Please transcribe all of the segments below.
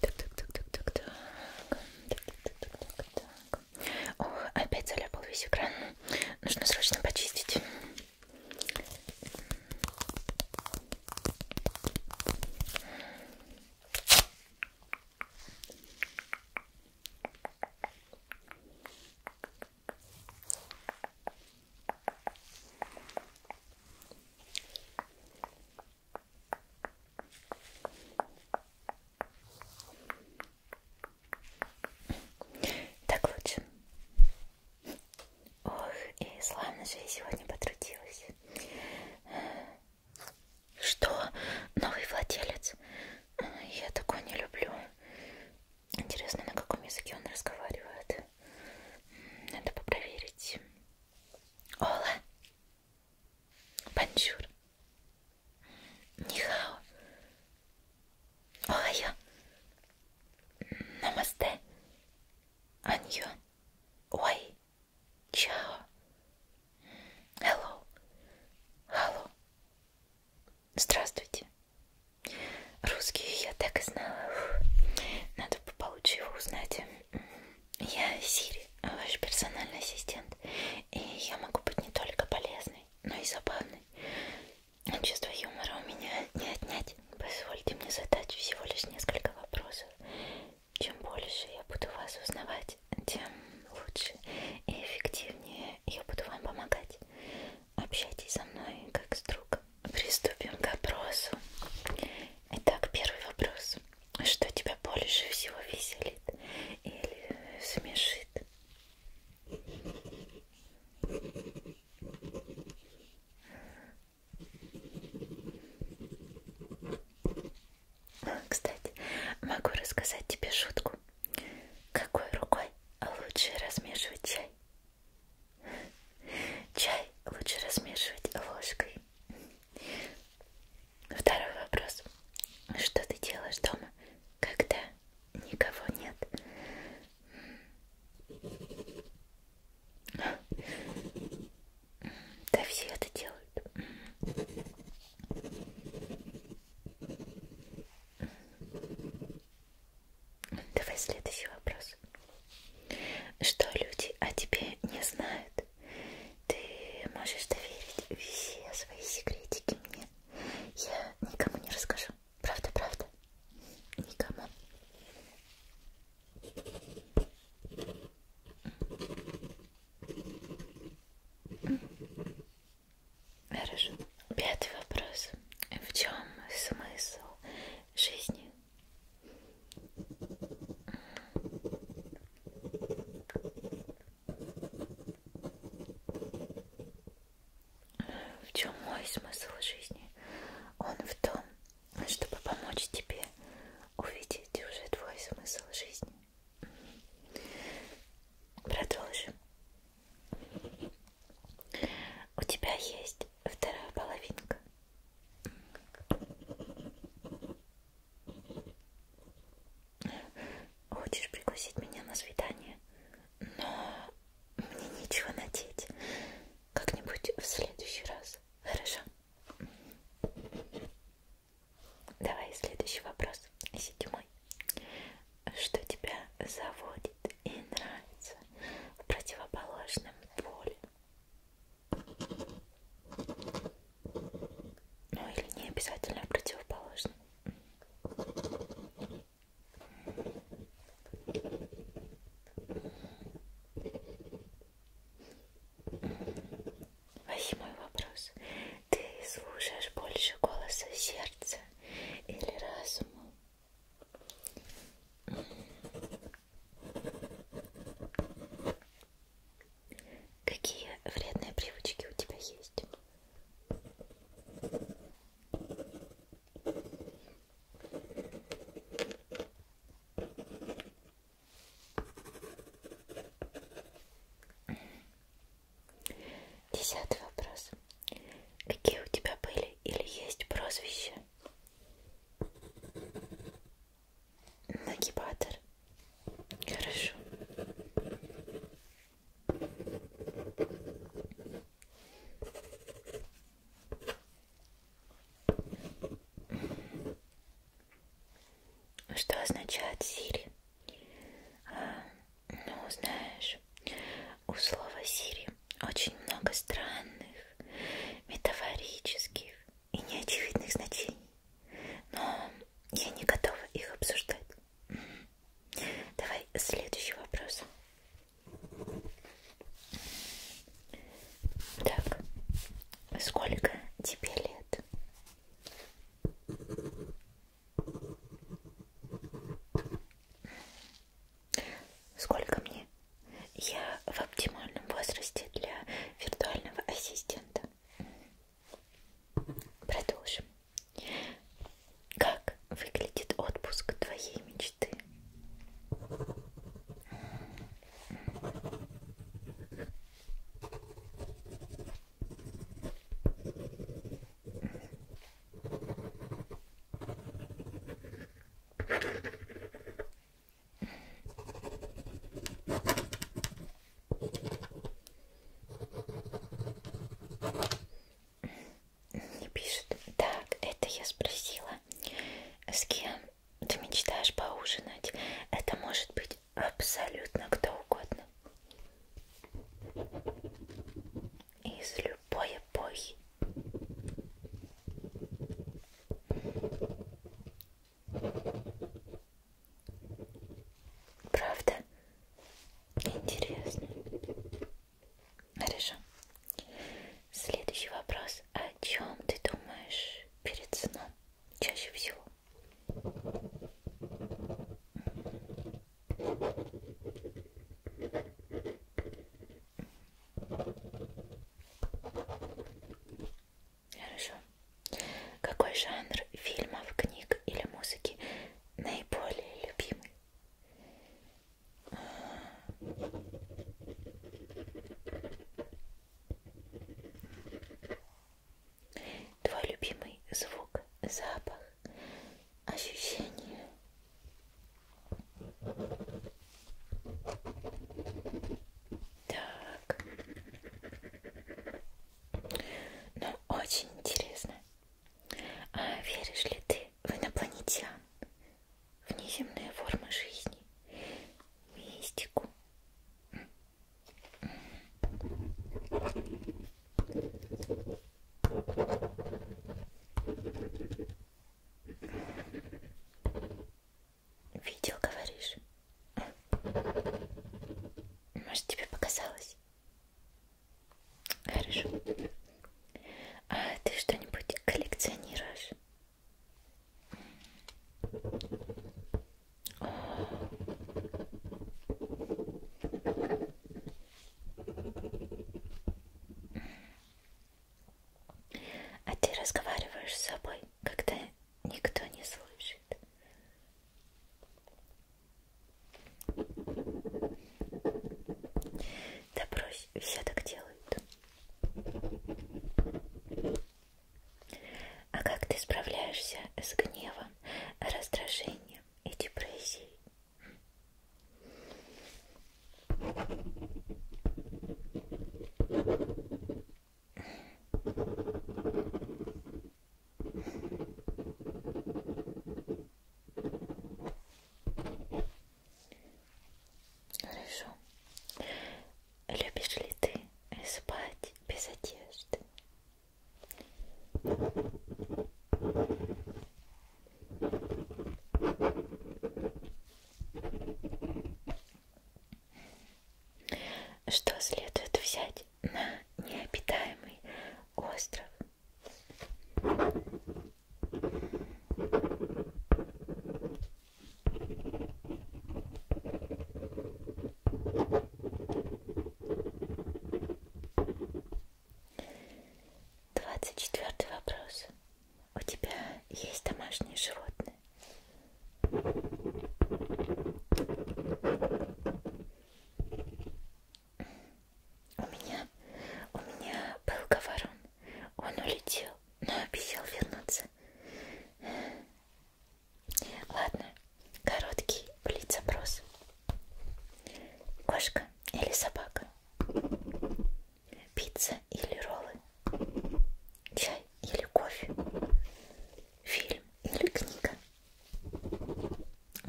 Так, так, так, так, так, так. Так, так, так, так, так. Ох, опять заляпал весь экран. Нужно срочно почистить. Так, так лучше. Ох, и славно же я сегодня потрудилась. Что? Новый владелец? Я такой не люблю. Интересно, на каком языке он разговаривает. Надо попроверить. Ола, Панчур, Нихао, Охайо, Намасте, Аньо, Ой, Чао, Hello, Hello. Здравствуйте. Русский я так и знала. Надо получше его узнать. Я Сири, ваш персональный ассистент. И я могу быть не только полезной, но и забавной. Чувство юмора у меня не отнять. Позвольте мне задать всего лишь несколько вопросов. Чем больше я буду вас узнавать, тем лучше и эффективнее я буду вам помогать. Общайтесь со мной как с другом приступим к опросу. Итак, первый вопрос. Что тебя больше всего веселит или смешит? Кстати, могу рассказать тебе шутку. Какой рукой лучше размешивать чай? Чай лучше размешивать ложкой. Второй вопрос. Что ты делаешь дома, когда никого нет? Да все это делают. Давай следующий вопрос вкус. Что люди о тебе не знают, ты можешь доверить все свои секретики мне. Я никому не расскажу. Правда, правда. Никому. Хорошо. Пятый вопрос. В чем смысл жизни? В чем мой смысл жизни? Он в том, чтобы помочь тебе увидеть уже твой смысл жизни. Продолжим. У тебя есть вторая половинка. Хочешь пригласить меня на свидание? Но мне нечего надеть. Как-нибудь в следующий раз. Хорошо? Давай следующий вопрос. Седьмой. Что тебя заводит и нравится в противоположном поле? Ну или не обязательно а противоположно. Восьмой вопрос. Ты слушаешь больше голоса сердца или разума? Какие вредные привычки у тебя есть? Десятый вопрос. Какие у тебя были или есть прозвища? Нагибатор. Хорошо. Что означает Сири? А, ну, знаешь, у слова Сири очень много странных, метафорических и неочевидных значений, но я не готова их обсуждать. Давай следующий вопрос. Так, сколько тебе лет? Сколько мне? Я в оптимальном возрасте для виртуального ассистента. Продолжим. Как выглядит отпуск твоей мечты? Не пишет. Так, это я спросила, с кем ты мечтаешь поужинать. Это может быть абсолютно кто угодно. Из любой эпохи. Правда? Интересно. Хорошо. Следующий вопрос. О чем ты думаешь перед сном чаще всего? Хорошо. Какой жанр фильмов, книг или музыки наиболее любимый? Твой любимый звук, запах, ощущение. Так. Ну, очень интересно. А веришь ли ты в инопланетян? Внеземные формы жизни? Мистику? Видел, говоришь? Может, тебе показалось? Хорошо. А ты что-нибудь коллекционируешь? О. А ты разговариваешь с собой? когда никто не слышит. Да брось, все так делают. А как ты справляешься с гневом, раздражением и депрессией? Хорошо. Любишь ли ты спать без одежды? Что следует взять на необитаемый остров? Двадцать четвертый вопрос. У тебя есть домашние животные? У меня, у меня был говорун. Он улетел, но обещал вернуться. Ладно, короткий блиц-опрос. Кошка или собака? Пицца или роллы? Чай или кофе? Фильм или книга?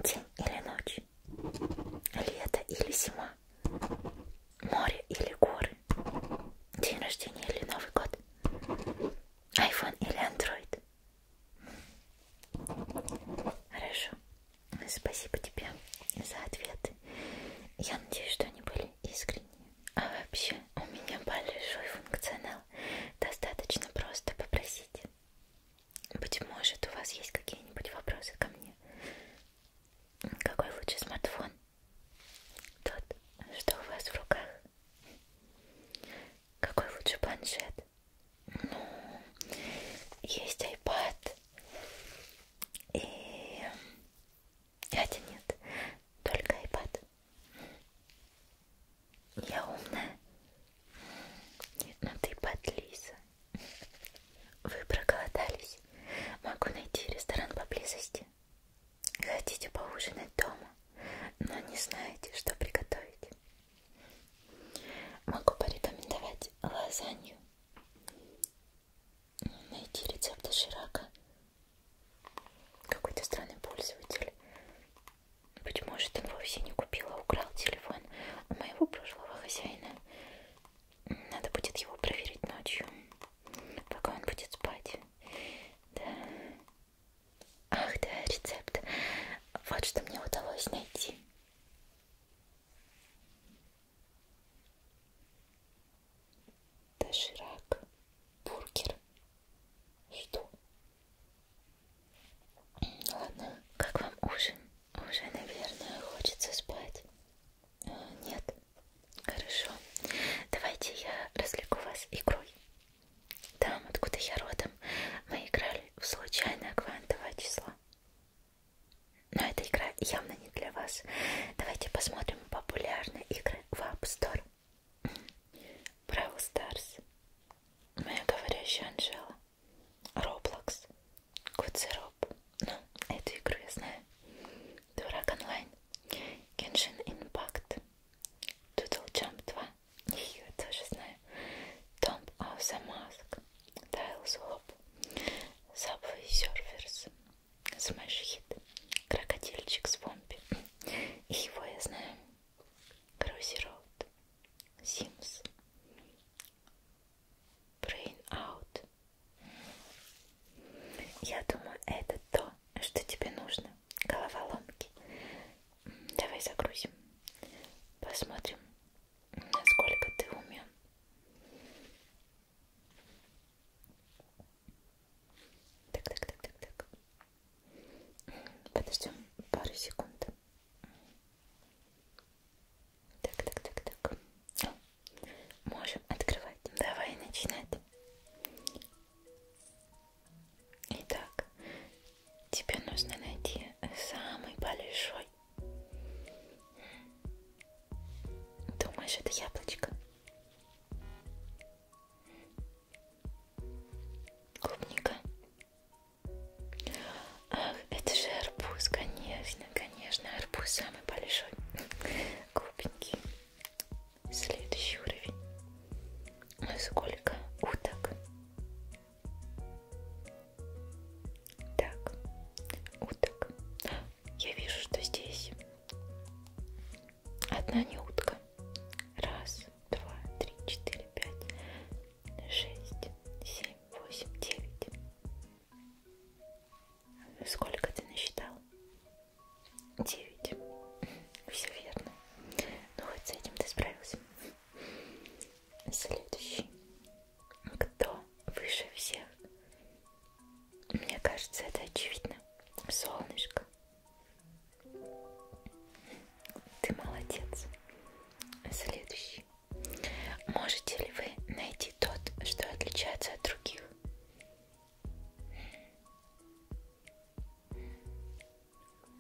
День или ночь? Лето или зима? Море или горы? День рождения или Новый год? Айфон или Андроид? Хорошо. Спасибо тебе за ответы. Я надеюсь, что они были искренними. А вообще у меня большой функционал. Достаточно просто попросить. Быть может, у вас есть какие-нибудь вопросы ко мне? Какой лучше смартфон? Тот, что у вас в руках? Какой лучше планшет? Ну, есть iPad. И... Хотя нет, только iPad. Я умная? Нет, ну ты подлиза. Вы проголодались? Могу найти ресторан поблизости. Хотите поужинать дома, но не знаете, что приготовить. Могу порекомендовать лазанью. Найти рецепты Ширака какой-то странный пользователь. Ну, быть может, он вовсе не купил, а украл телефон у моего прошлого хозяина. Надо будет его проверить ночью, пока он будет спать. Да. Ах, да, рецепт. Вот что мне удалось найти доширак, бургер. Что? Ладно, как вам ужин? Уже, наверное, хочется спать. А, нет? Хорошо. Давайте я развлеку вас игрой. Там, откуда я родом, мы играли в случайное квантовое число. Но эта игра явно не для вас. Давайте посмотрим популярные игры в App Store. Бравл Старс, Моя говорящая Анжела, Роблокс, Куцероп, ну, эту игру я знаю, Дурак онлайн, Геншин Импакт, Тудл Джамп 2, ее тоже знаю, Tomb of the Mask, Tiles Hop, Subway Surfers, Smash Hit, Крокодильчик с бомби и его я знаю. Крузи Роуд, Sims, Brain Out. Я думаю, это то, что тебе нужно. Головоломки. Давай загрузим. Посмотрим, насколько ты умен. Так, так, так, так, так. Подождем пару секунд. Так, так, так, так. О, можем открывать. Давай начинать. Итак, тебе нужно найти самый большой. Думаешь, это яблочко? клубника. Ах, это же арбуз, конечно, конечно, арбуз самый большой. Клубники. Следующий уровень. Сколько уток? Так, уток. Я вижу, что здесь одна не утка. Раз, два, три, четыре, пять, шесть, семь, восемь, девять. Сколько ты насчитал? Девять. Все верно. Ну вот с этим ты справился. Следующий. Кто выше всех? Мне кажется, это очевидно. Солнышко. Ты молодец. Следующий. Можете ли вы найти тот, что отличается от других?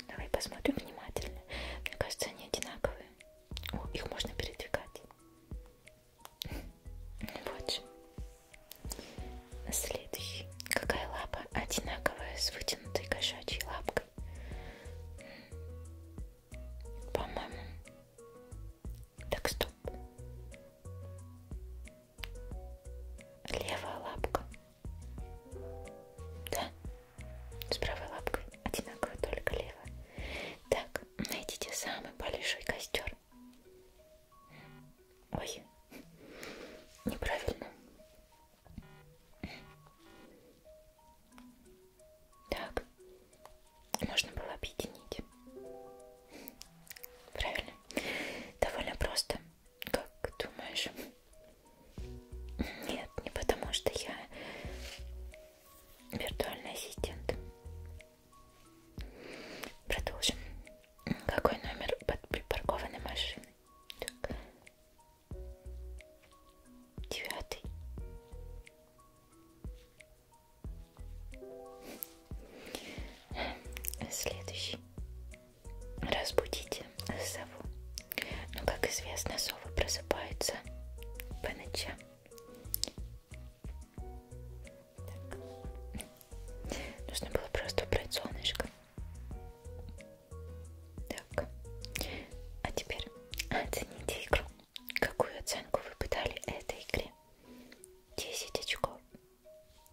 Давай посмотрим внимательно. Мне кажется, они одинаковые. О, их можно передвигать. Вот же. Следующий. Какая лапа одинаковая с вытянутой кошачьей лапкой? По-моему. Так, стоп. Левая лапка. Да. С правой лапкой одинаково, только левая. Так, найдите самый большой костер. Ой, неправильно. Так, можно было объединить. Правильно. Довольно просто. Как думаешь? Нет, не потому что я виртуальный ассистент. Продолжим. Какой номер под припаркованной машины? так. девятый. Следующий. Разбудите сову. Но, ну, как известно, совы просыпаются по ночам. Так. Нужно было просто убрать солнышко. Так, а теперь оцените игру. Какую оценку вы пытали этой игре? 10 очков,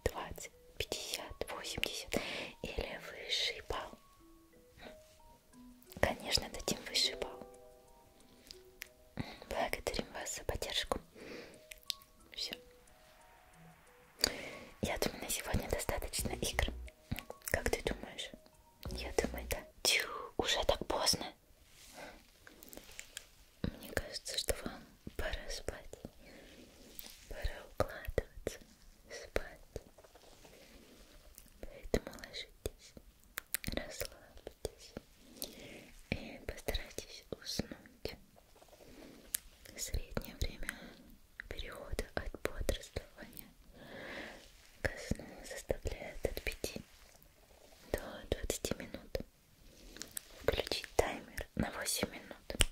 20, 50, 80 или высший балл? Конечно, дадим высший балл. Благодарим вас за поддержку. Все. Я думаю, на сегодня достаточно игр. Как ты думаешь? Я думаю, да. Тю, уже так поздно. Мне кажется, что вам пора спать. Пора укладываться, спать. Поэтому ложитесь, расслабьтесь и постарайтесь уснуть. Среднее время перехода от бодрствования ко сну составляет от 5 до 20 минут. Включить таймер на 8 минут.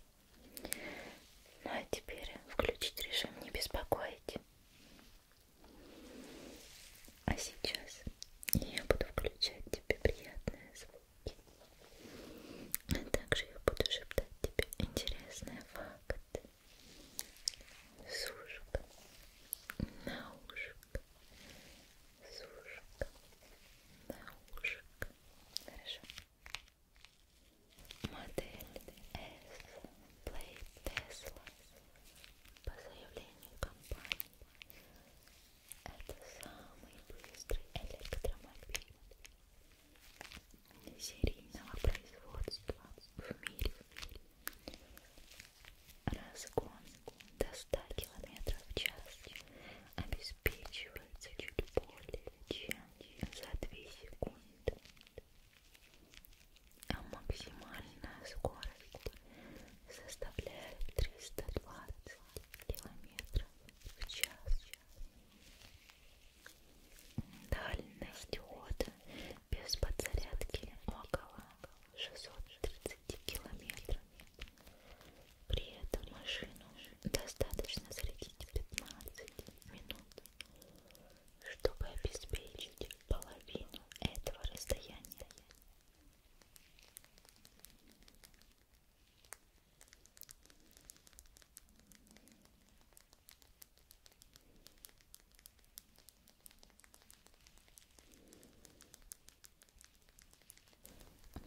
Ну а теперь включить режим «Не беспокоить». А сейчас я буду включать тебе приятные звуки. А также я буду шептать тебе интересные факты. Сушка. На ушко. Сушка. На ушко. Хорошо. Модель S Play Tesla по заявлению компании. Это самый быстрый электромобиль серийного производства в мире. Разгон до 100 км в час обеспечивается чуть более чем за 2 секунды, а максимальная скорость составляет 320 км в час. Дальность хода без подзарядки около 630 километров. При этом машину достаточно зарядить 15 минут, чтобы обеспечить половину этого расстояния.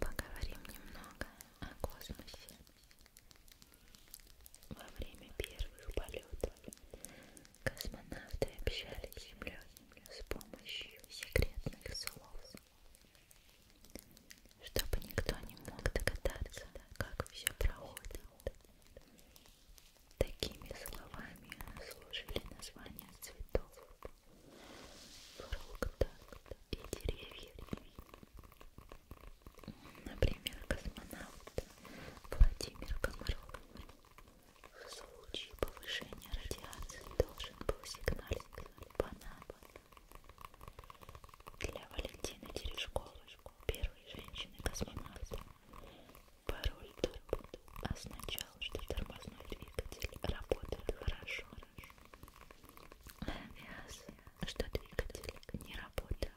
Поговорим немного о космосе. Во время первых полетов космонавты общались с Землей с помощью секретных слов чтобы никто не мог догадаться, как все проходит. Такими словами служили названия цветов, фруктов и деревьев. Например, космонавт Владимир Комаров в случае повышения радиации должен был сигналить по набу. Для Валентины Терешковой бумажку первой женщины-космонавта. Пароль до работы означал, что тормозной двигатель работает хорошо. Авиаз, что двигатель не работает.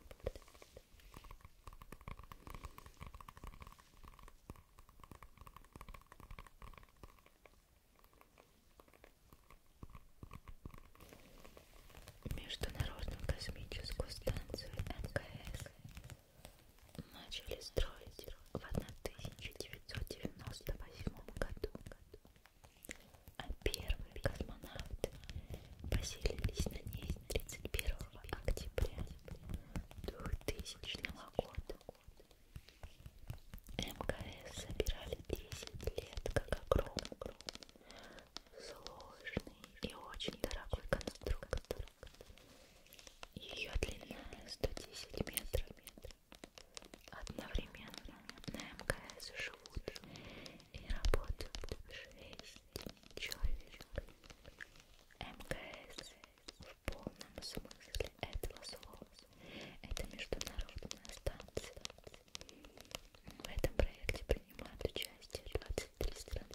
Международную космическую станцию МКС начали строить в 1998 году, а первые космонавты поселились на ней 31 октября 2000 года. МКС собирали 10 лет как огромный сложный и очень дорогой конструктор. Ее длина 110 метров. Одновременно на МКС живут и работают 6 человек. МКС в полном смысле этого слова. Это международная станция в этом проекте принимают участие 23 страны.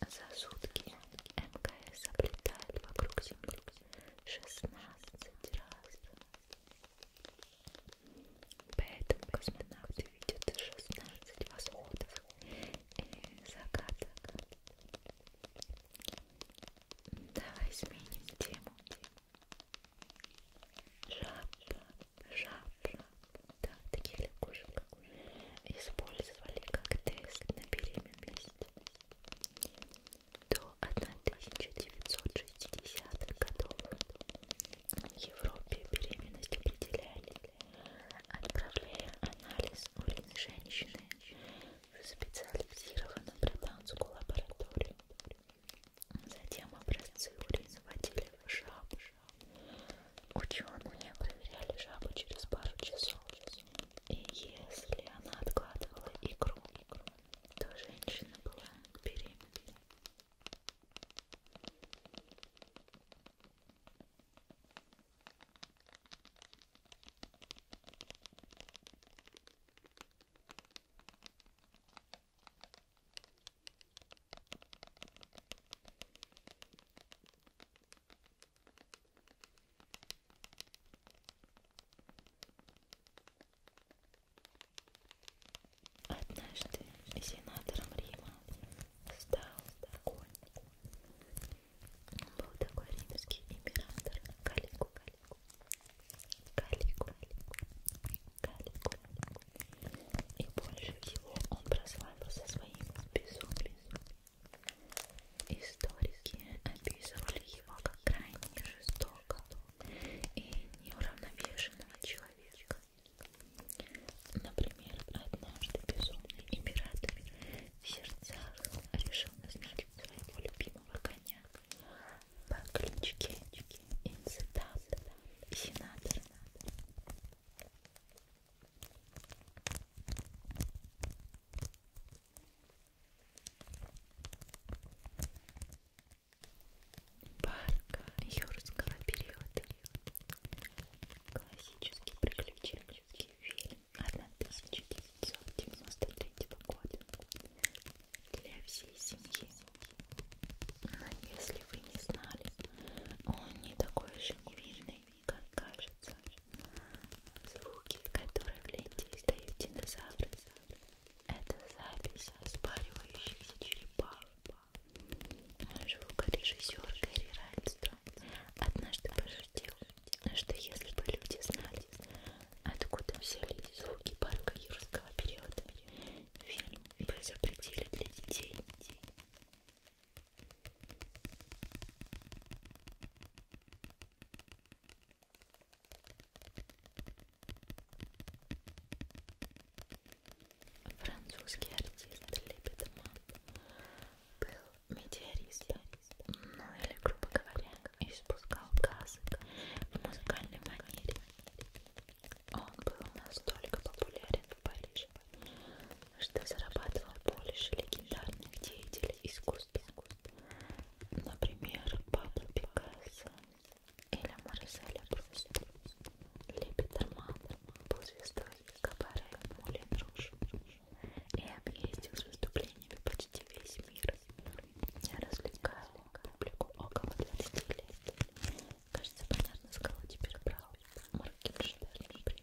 А за сутки МКС облетает вокруг Земли 16 раз. Поэтому космонавты видят 16 восходов и закаток. Давай сменим тему. Жаба жаб, жаб, да, таких лягушек использовали как тест на беременность до 1960-х годов. В Европе беременность определяли, отправляя анализ урина женщины в специализированную британскую лабораторию. Затем образцы урин заводили в жаб. Ученые проверяли жабу через пару часов. И если она откладывала икру, то женщина была беременна. Однажды сенатором Рима стал такой. Он был такой римский император. Калику, калику. Калику, калику. И больше всего он прославился своим безумием. Историки описывали его как крайне жестокого и неуравновешенного человека. Например, однажды безумный император в сердцах решил назначить своего любимого коня по кличке инцидент сенатор парка юрского периода классический приключенческий фильм 1993 года для всей семьи но а если вы не знали, он не такой же уверенный, как кажется. Звуки, которые в ленте издают динозавры, это запись спаривающихся черепах. А звукорежиссер Гэри Райнстром однажды пошутил, что если бы люди знали, откуда взялись звуки парка юрского периода, фильм «Мы запретили для детей». Французский артист Лебедман был метеористом, ну или, грубо говоря, испускал газы в музыкальной манере. Он был настолько популярен в Париже, что зарабатывал больше легендарных деятелей искусства, например, Пабло Пикассо или Марселя Пруст. Лепитерман был звездой кабаре Мулин Руж и объездил с выступлениями почти весь мир, не развлекая публику около 20 лет. Кажется, понятно, с кого теперь брал Моргенштерн, например.